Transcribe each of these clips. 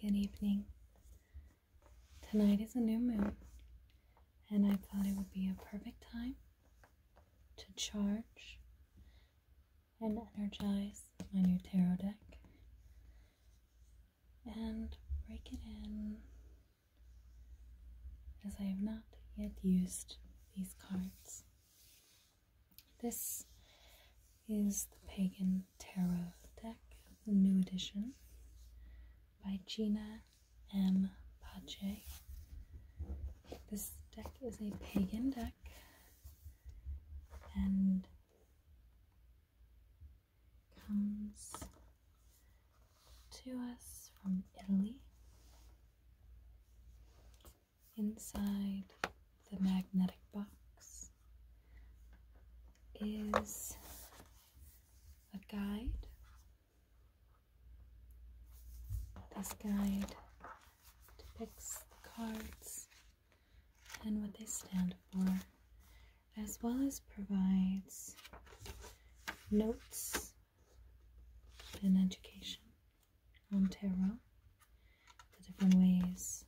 Good evening. Tonight is a new moon, and I thought it would be a perfect time to charge and energize my new tarot deck and break it in as I have not yet used these cards. This is the Pagan Tarot deck, the new edition by Gina M. Pache. This deck is a pagan deck and comes to us from Italy inside the magnetic box is a guide. This guide depicts the cards and what they stand for, as well as provides notes and education on tarot, the different ways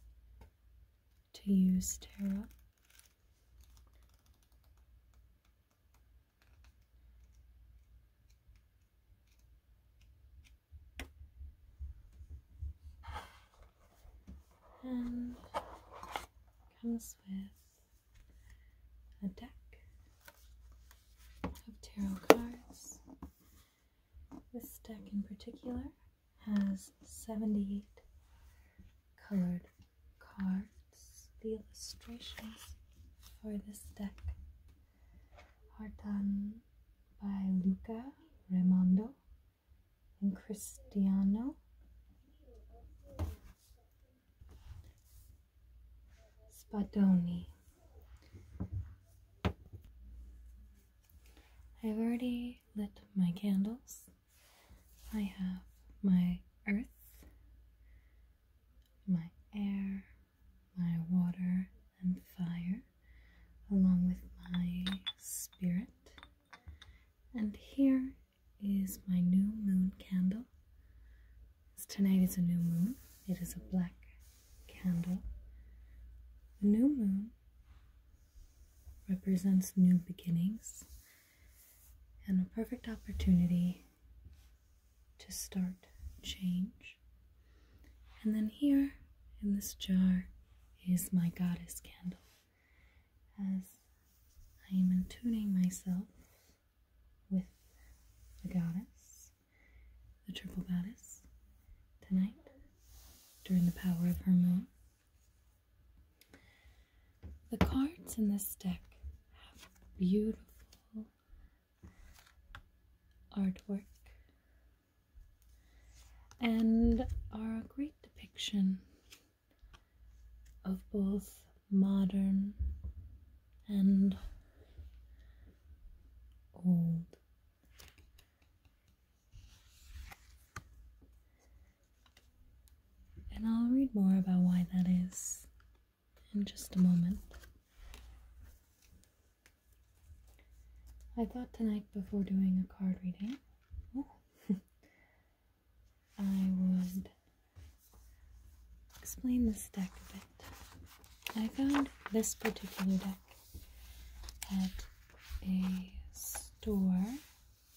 to use tarot. And comes with a deck of tarot cards this deck in particular has 78 colored cards. The illustrations for this deck are done by Luca Raimondo and Cristiano. Spadoni. I've already lit my candles. I have my earth, my air, my water, and fire, along with my spirit. And here is my new moon candle. Tonight is a new moon. It is a black candle. The new moon represents new beginnings and a perfect opportunity to start change. And then here in this jar is my goddess candle as I am attuning myself with the goddess the triple goddess, tonight during the power of her moon. The cards in this deck have beautiful artwork and are a great depiction of both modern and old and I'll read more about why that is in just a moment. I thought tonight before doing a card reading, I would explain this deck a bit. I found this particular deck at a store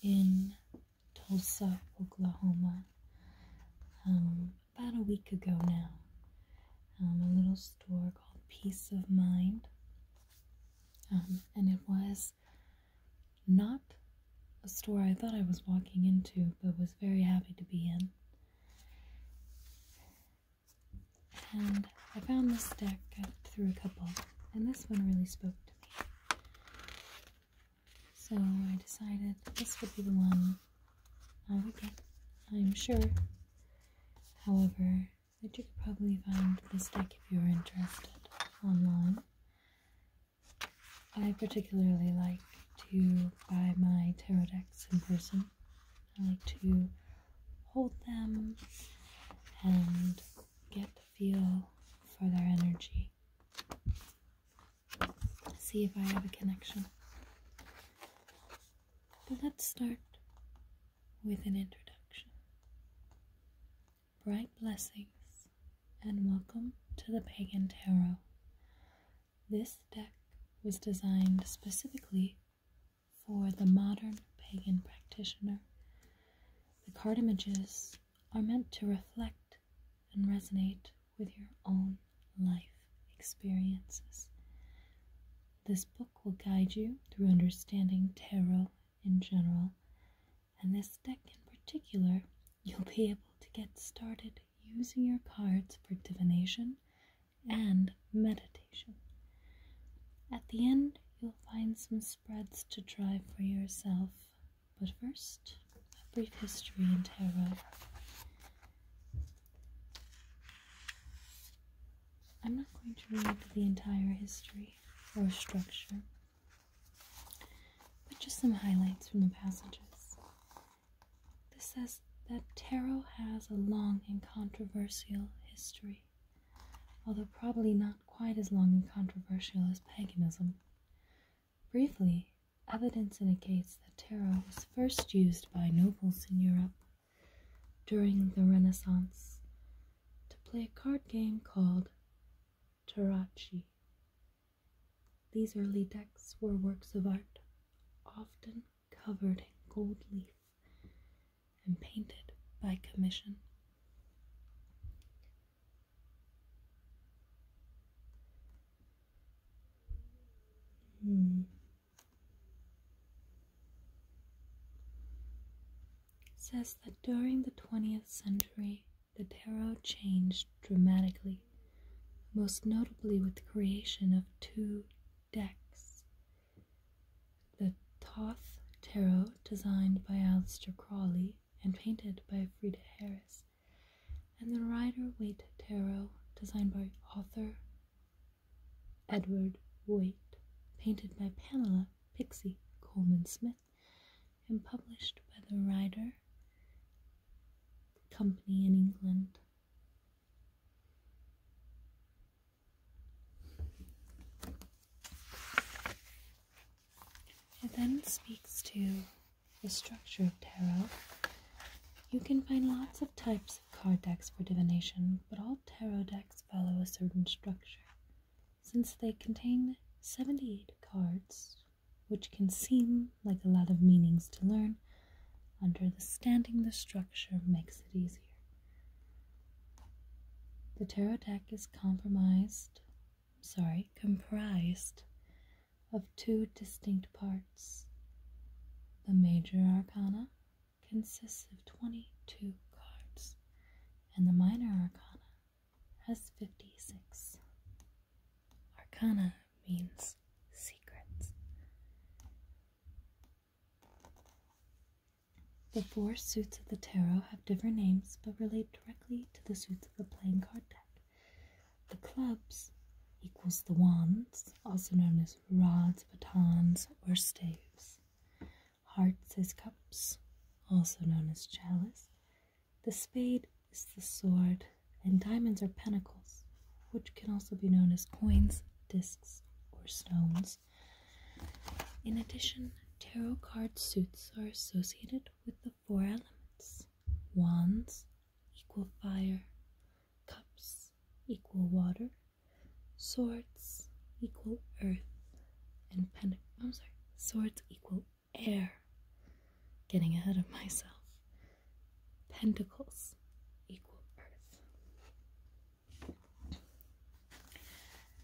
in Tulsa, Oklahoma, um, about a week ago now. Um, a little store called Peace of Mind. Um, and it was not a store I thought I was walking into, but was very happy to be in. And I found this deck, through a couple, and this one really spoke to me. So I decided this would be the one I would get, I'm sure. However, that you could probably find this deck if you are interested online. I particularly like to buy my tarot decks in person I like to hold them and get the feel for their energy. See if I have a connection. But let's start with an introduction. Bright blessings and welcome to the Pagan Tarot. This deck was designed specifically for the modern pagan practitioner, the card images are meant to reflect and resonate with your own life experiences. This book will guide you through understanding tarot in general, and this deck in particular, you'll be able to get started using your cards for divination and meditation. At the end, you'll find some spreads to try for yourself, but first, a brief history in tarot. I'm not going to read the entire history or structure, but just some highlights from the passages. This says that tarot has a long and controversial history, although probably not quite as long and controversial as paganism. Briefly, evidence indicates that tarot was first used by nobles in Europe during the Renaissance to play a card game called Tarachi. These early decks were works of art, often covered in gold leaf and painted by commission. Hmm. Says that during the 20th century, the tarot changed dramatically, most notably with the creation of two decks. The Toth Tarot, designed by Alister Crawley and painted by Frida Harris, and the Rider Waite Tarot, designed by author Edward Waite, painted by Pamela Pixie Coleman Smith, and published by the Rider Company in England. It then speaks to the structure of tarot. You can find lots of types of card decks for divination, but all tarot decks follow a certain structure. Since they contain 78 cards, which can seem like a lot of meanings to learn, Understanding the structure makes it easier. The tarot deck is compromised, sorry, comprised of two distinct parts. The major arcana consists of 22 cards, and the minor arcana has 56. Arcana means secrets. The four suits of the tarot have different names but relate directly to the suits of the playing card deck. The clubs equals the wands, also known as rods, batons, or staves. Hearts is cups, also known as chalice. The spade is the sword, and diamonds are pentacles, which can also be known as coins discs, or stones. In addition, tarot card suits are associated with the four elements wands equal fire, cups equal water, swords equal earth, and pentac- I'm sorry, swords equal air. Getting ahead of myself pentacles equal earth.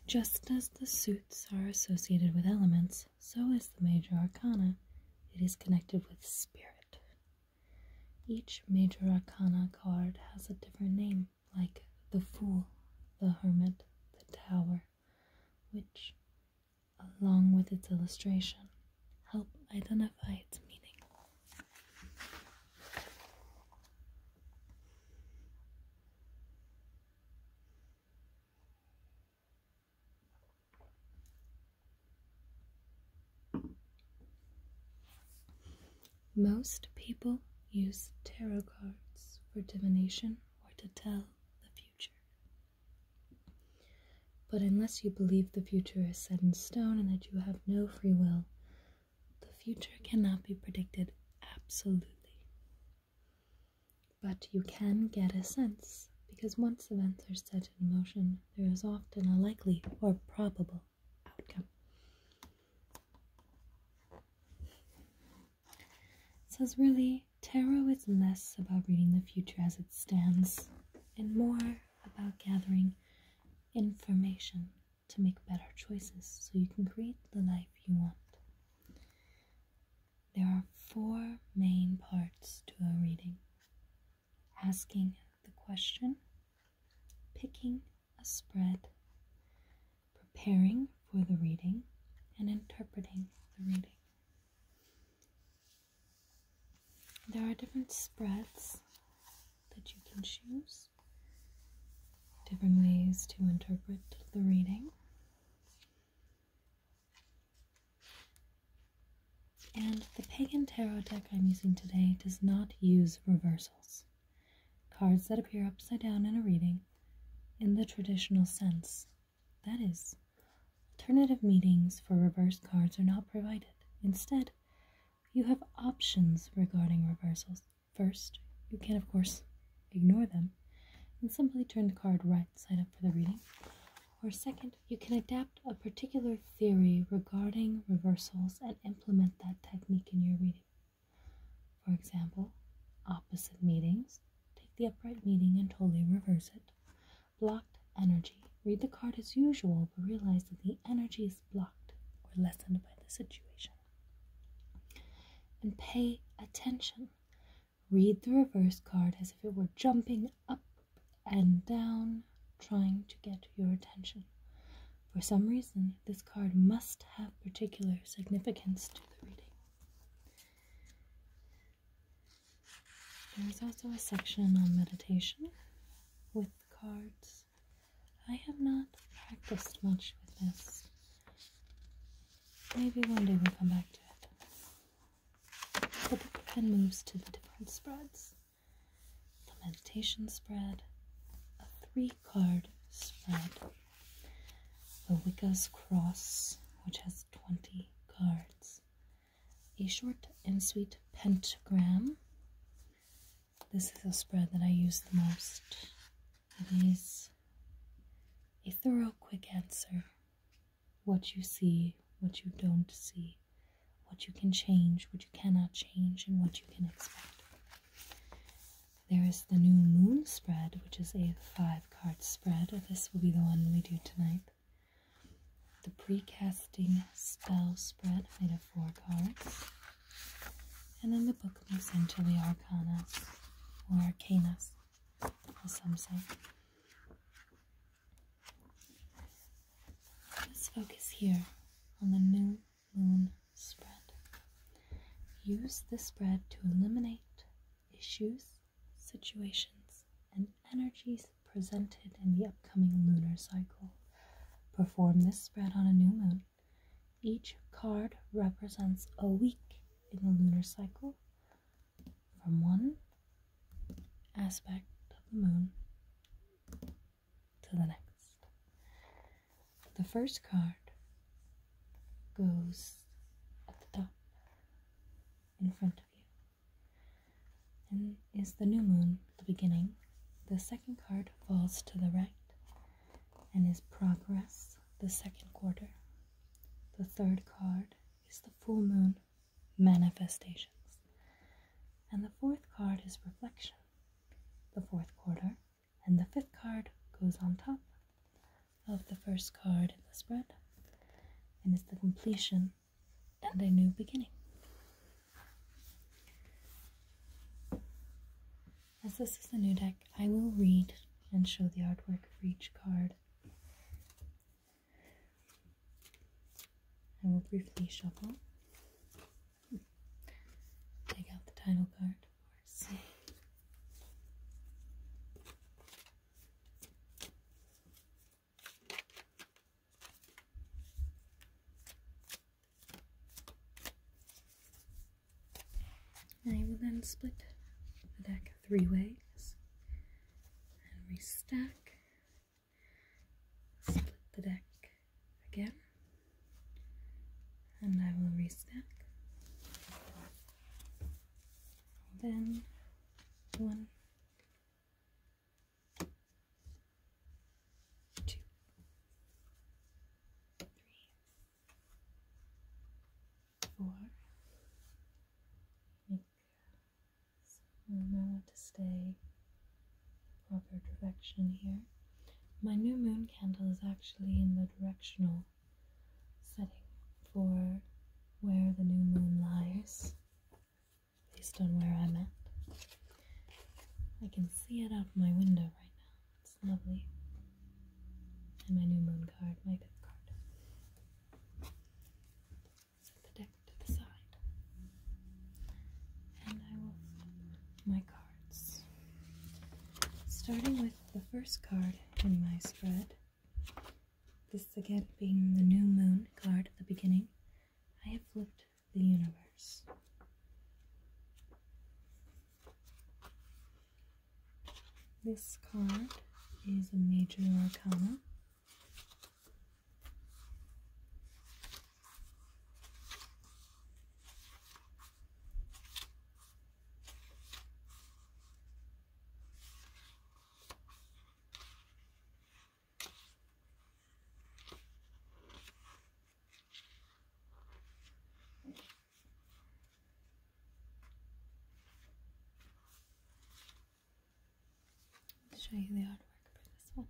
Just as the suits are associated with elements, so is the major arcana. It is connected with spirit. Each major arcana card has a different name, like the Fool, the Hermit, the Tower, which, along with its illustration, help identify its meaning. Most people use tarot cards for divination or to tell the future. But unless you believe the future is set in stone and that you have no free will, the future cannot be predicted absolutely. But you can get a sense, because once events are set in motion, there is often a likely or probable outcome. It says really, tarot is less about reading the future as it stands and more about gathering information to make better choices so you can create the life you want. There are four main parts to a reading asking the question, picking a spread, preparing for the reading, and interpreting the reading. There are different spreads that you can choose, different ways to interpret the reading. And the Pagan Tarot deck I'm using today does not use reversals, cards that appear upside down in a reading in the traditional sense. That is, alternative meanings for reversed cards are not provided. Instead, you have options regarding reversals. First, you can, of course, ignore them and simply turn the card right side up for the reading. Or, second, you can adapt a particular theory regarding reversals and implement that technique in your reading. For example, opposite meetings, take the upright meeting and totally reverse it. Block energy. Read the card as usual, but realize that the energy is blocked or lessened by the situation. And pay attention. Read the reverse card as if it were jumping up and down, trying to get your attention. For some reason, this card must have particular significance to the reading. There is also a section on meditation with cards. I have not practiced much with this. Maybe one day we'll come back to it. The book then moves to the different spreads the meditation spread, a three card spread, the Wicca's Cross, which has 20 cards, a short and sweet pentagram. This is a spread that I use the most. It is a thorough, quick answer. What you see, what you don't see, what you can change, what you cannot change, and what you can expect. There is the new moon spread, which is a five card spread. This will be the one we do tonight the pre-casting spell spread made of four cards. And then the book moves into the arcana or arcana, as some say. Let's focus here on the new moon spread. Use the spread to eliminate issues, situations, and energies presented in the upcoming lunar cycle. Perform this spread on a new moon. Each card represents a week in the lunar cycle from one aspect of the moon to the next. The first card goes at the top in front of you and is the new moon the beginning. The second card falls to the right and is progress, the second quarter. The third card is the full moon, manifestations. And the fourth card is reflection, the fourth quarter. And the fifth card goes on top of the first card in the spread and is the completion and a new beginning. As this is a new deck, I will read and show the artwork for each card. I will briefly shuffle. Take out the title card, I will then split the deck three ways and restack, split the deck again, and I will restack. Then one, two, three, four. I think I want to stay proper direction here. My new moon candle is actually in the directional setting for where the new moon lies. Based on where I'm at. I can see it out my window right now. It's lovely. And my new moon card, my fifth card. Set the deck to the side. And I will flip my cards. Starting with the first card in my spread. This again being the new moon card at the beginning. I have flipped the universe. This card is a major arcana show you the artwork for this one.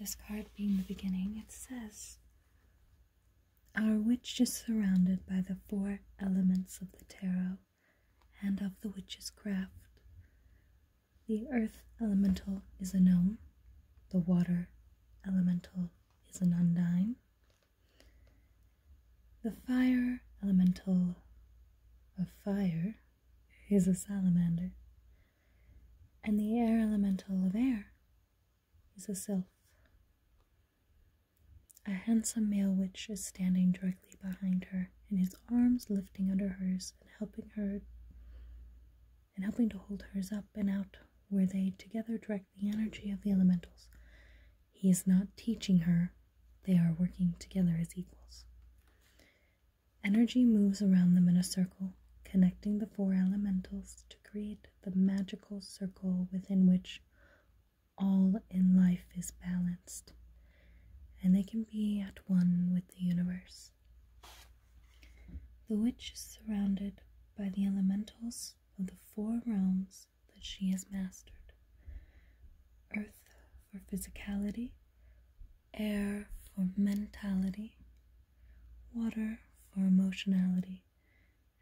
This card being the beginning, it says our witch is surrounded by the four elements of the tarot and of the witch's craft. The earth elemental is a gnome, the water elemental is an undine, the fire elemental of fire is a salamander, and the air elemental of air is a sylph. A handsome male witch is standing directly behind her, and his arms lifting under hers and helping her and helping to hold hers up and out where they together direct the energy of the elementals. He is not teaching her, they are working together as equals. Energy moves around them in a circle, connecting the four elementals to create the magical circle within which all in life is balanced and they can be at one with the universe. The witch is surrounded by the elementals of the four realms that she has mastered earth for physicality, air for mentality, water for emotionality,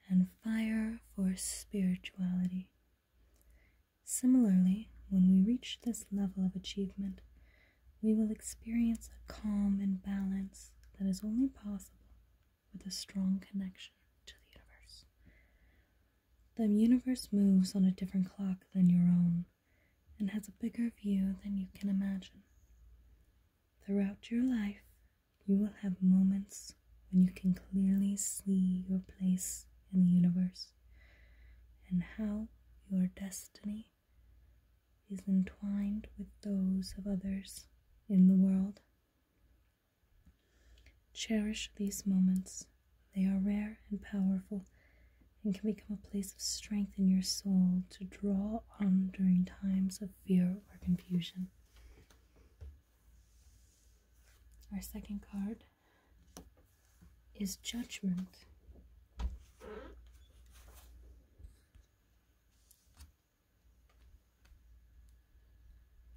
and fire for spirituality. Similarly, when we reach this level of achievement, we will experience a calm and balance that is only possible with a strong connection to the universe. The universe moves on a different clock than your own and has a bigger view than you can imagine. Throughout your life, you will have moments when you can clearly see your place in the universe and how your destiny is entwined with those of others in the world. Cherish these moments. They are rare and powerful and can become a place of strength in your soul to draw on during times of fear or confusion. Our second card is Judgment.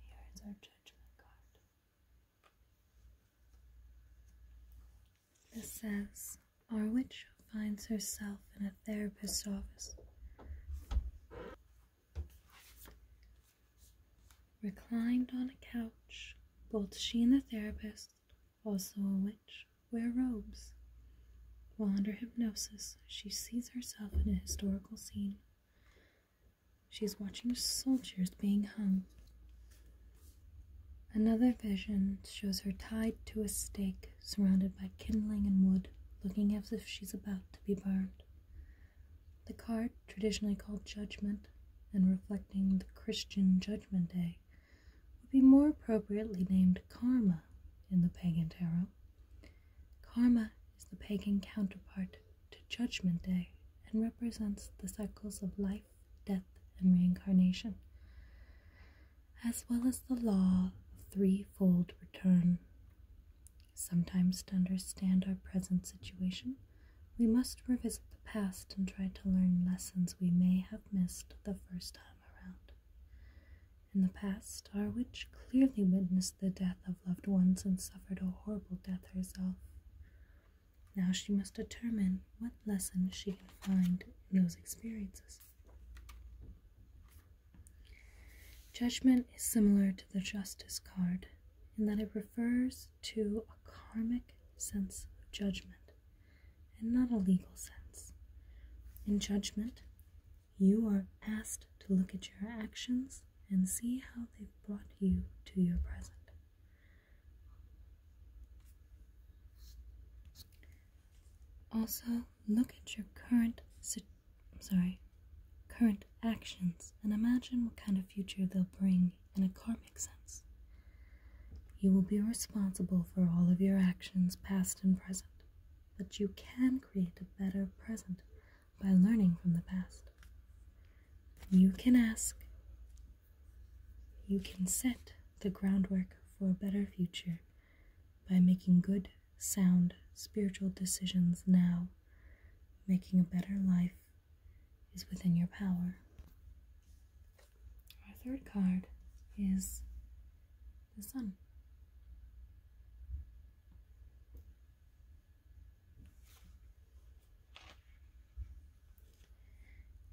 Here is our Judgment card. This says, Our witch finds herself in a therapist's office. Reclined on a couch, both she and the therapist, also a witch, wear robes. While under hypnosis, she sees herself in a historical scene. She is watching soldiers being hung. Another vision shows her tied to a stake, surrounded by kindling and wood, looking as if she's about to be burned. The card, traditionally called Judgment and reflecting the Christian Judgment Day, would be more appropriately named Karma in the pagan tarot. Karma is the pagan counterpart to Judgment Day and represents the cycles of life, death, and reincarnation, as well as the law of threefold return Sometimes, to understand our present situation, we must revisit the past and try to learn lessons we may have missed the first time around. In the past, our witch clearly witnessed the death of loved ones and suffered a horrible death herself. Now she must determine what lesson she can find in those experiences. Judgment is similar to the Justice card in that it refers to a karmic sense of judgment and not a legal sense. In judgment, you are asked to look at your actions and see how they've brought you to your present. Also, look at your current situation I'm sorry, current actions and imagine what kind of future they'll bring in a karmic sense. You will be responsible for all of your actions, past and present, but you can create a better present by learning from the past. You can ask, you can set the groundwork for a better future by making good sound spiritual decisions now, making a better life is within your power. Our third card is the Sun.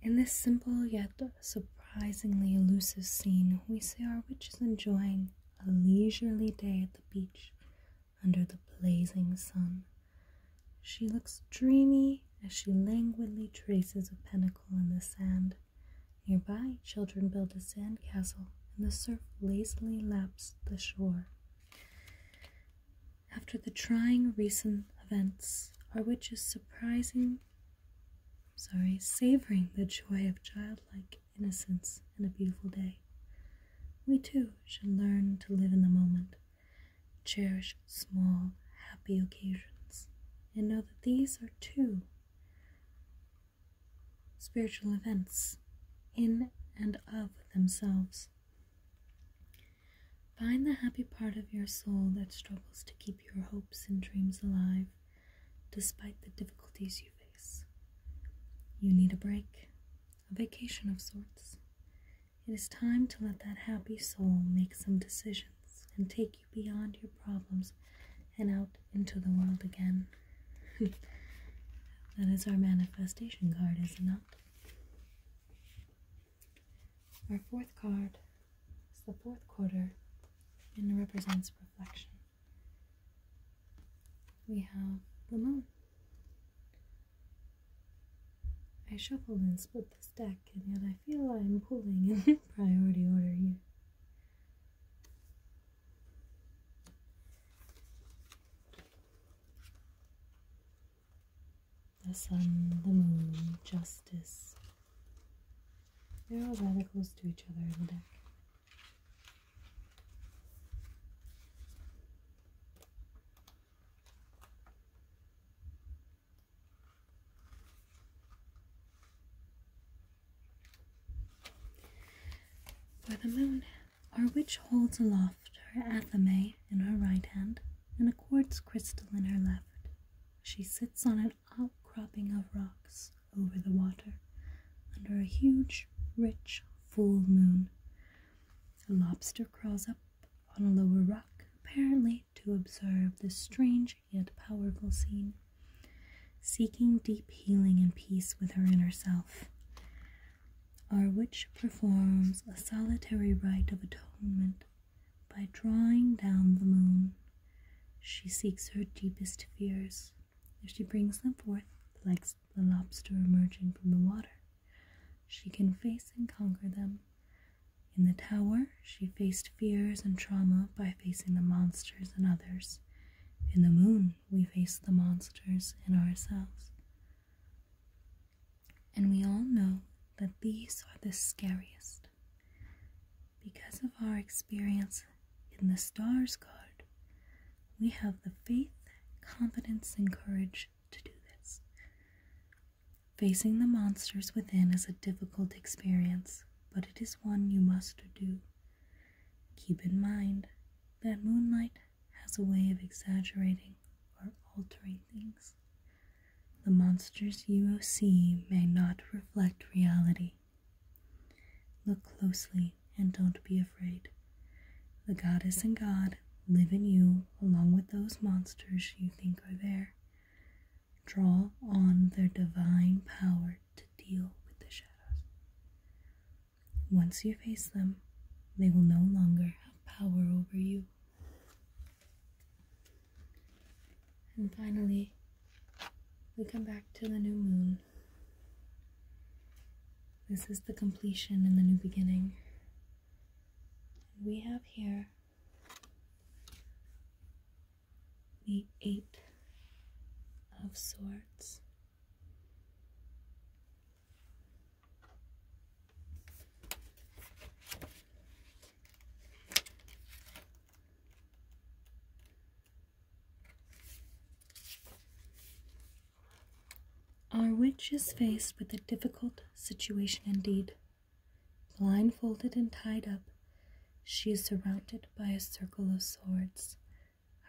In this simple yet surprisingly elusive scene, we see our witch is enjoying a leisurely day at the beach under the blazing sun. She looks dreamy as she languidly traces a pentacle in the sand. Nearby, children build a sandcastle, and the surf lazily laps the shore. After the trying recent events, our witch is surprising, sorry, savoring the joy of childlike innocence and a beautiful day. We too should learn to live in the moment, cherish small, happy occasions, and know that these are too spiritual events in and of themselves. Find the happy part of your soul that struggles to keep your hopes and dreams alive despite the difficulties you you need a break, a vacation of sorts. It is time to let that happy soul make some decisions and take you beyond your problems and out into the world again. that is our manifestation card, is it not? Our fourth card is the fourth quarter and represents reflection we have the moon. I shuffle and split the deck, and yet I feel I'm pulling in priority order here. The sun, the moon, justice. They're all rather close to each other in the deck. For the moon, our witch holds aloft her athame in her right hand and a quartz crystal in her left. She sits on an outcropping of rocks over the water under a huge, rich full moon. A lobster crawls up on a lower rock, apparently to observe this strange yet powerful scene, seeking deep healing and peace with her inner self. Our witch performs a solitary rite of atonement by drawing down the moon. She seeks her deepest fears if she brings them forth, like the lobster emerging from the water, she can face and conquer them. In the tower, she faced fears and trauma by facing the monsters and others. In the moon, we face the monsters in ourselves. And we all know that these are the scariest. Because of our experience in the Stars card, we have the faith, confidence, and courage to do this. Facing the monsters within is a difficult experience, but it is one you must do. Keep in mind that moonlight has a way of exaggerating or altering things. The monsters you see may not reflect reality. Look closely and don't be afraid. The goddess and god live in you along with those monsters you think are there. Draw on their divine power to deal with the shadows. Once you face them, they will no longer have power over you. And finally, we come back to the new moon this is the completion and the new beginning. And we have here the Eight of Swords. Our witch is faced with a difficult situation indeed. Blindfolded and tied up, she is surrounded by a circle of swords.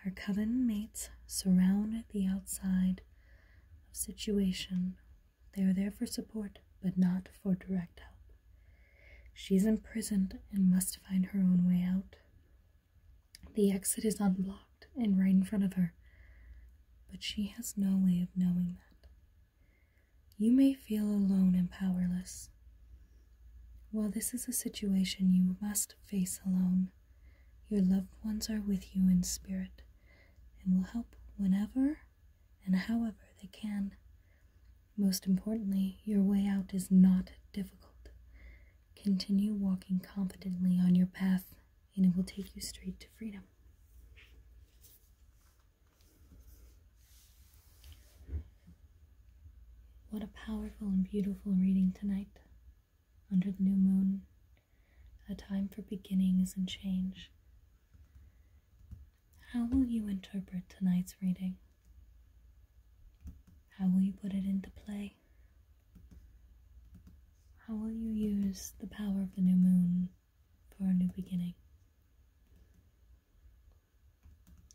Her coven mates surround the outside of situation. They are there for support, but not for direct help. She is imprisoned and must find her own way out. The exit is unblocked and right in front of her, but she has no way of knowing that. You may feel alone and powerless. While this is a situation you must face alone, your loved ones are with you in spirit and will help whenever and however they can. Most importantly, your way out is not difficult. Continue walking confidently on your path, and it will take you straight to freedom. What a powerful and beautiful reading tonight. Under the new moon, a time for beginnings and change. How will you interpret tonight's reading? How will you put it into play? How will you use the power of the new moon for a new beginning?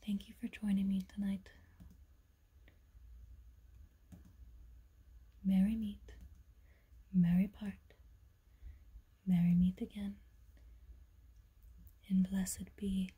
Thank you for joining me tonight. Merry meet, merry part, merry meet again, and blessed be.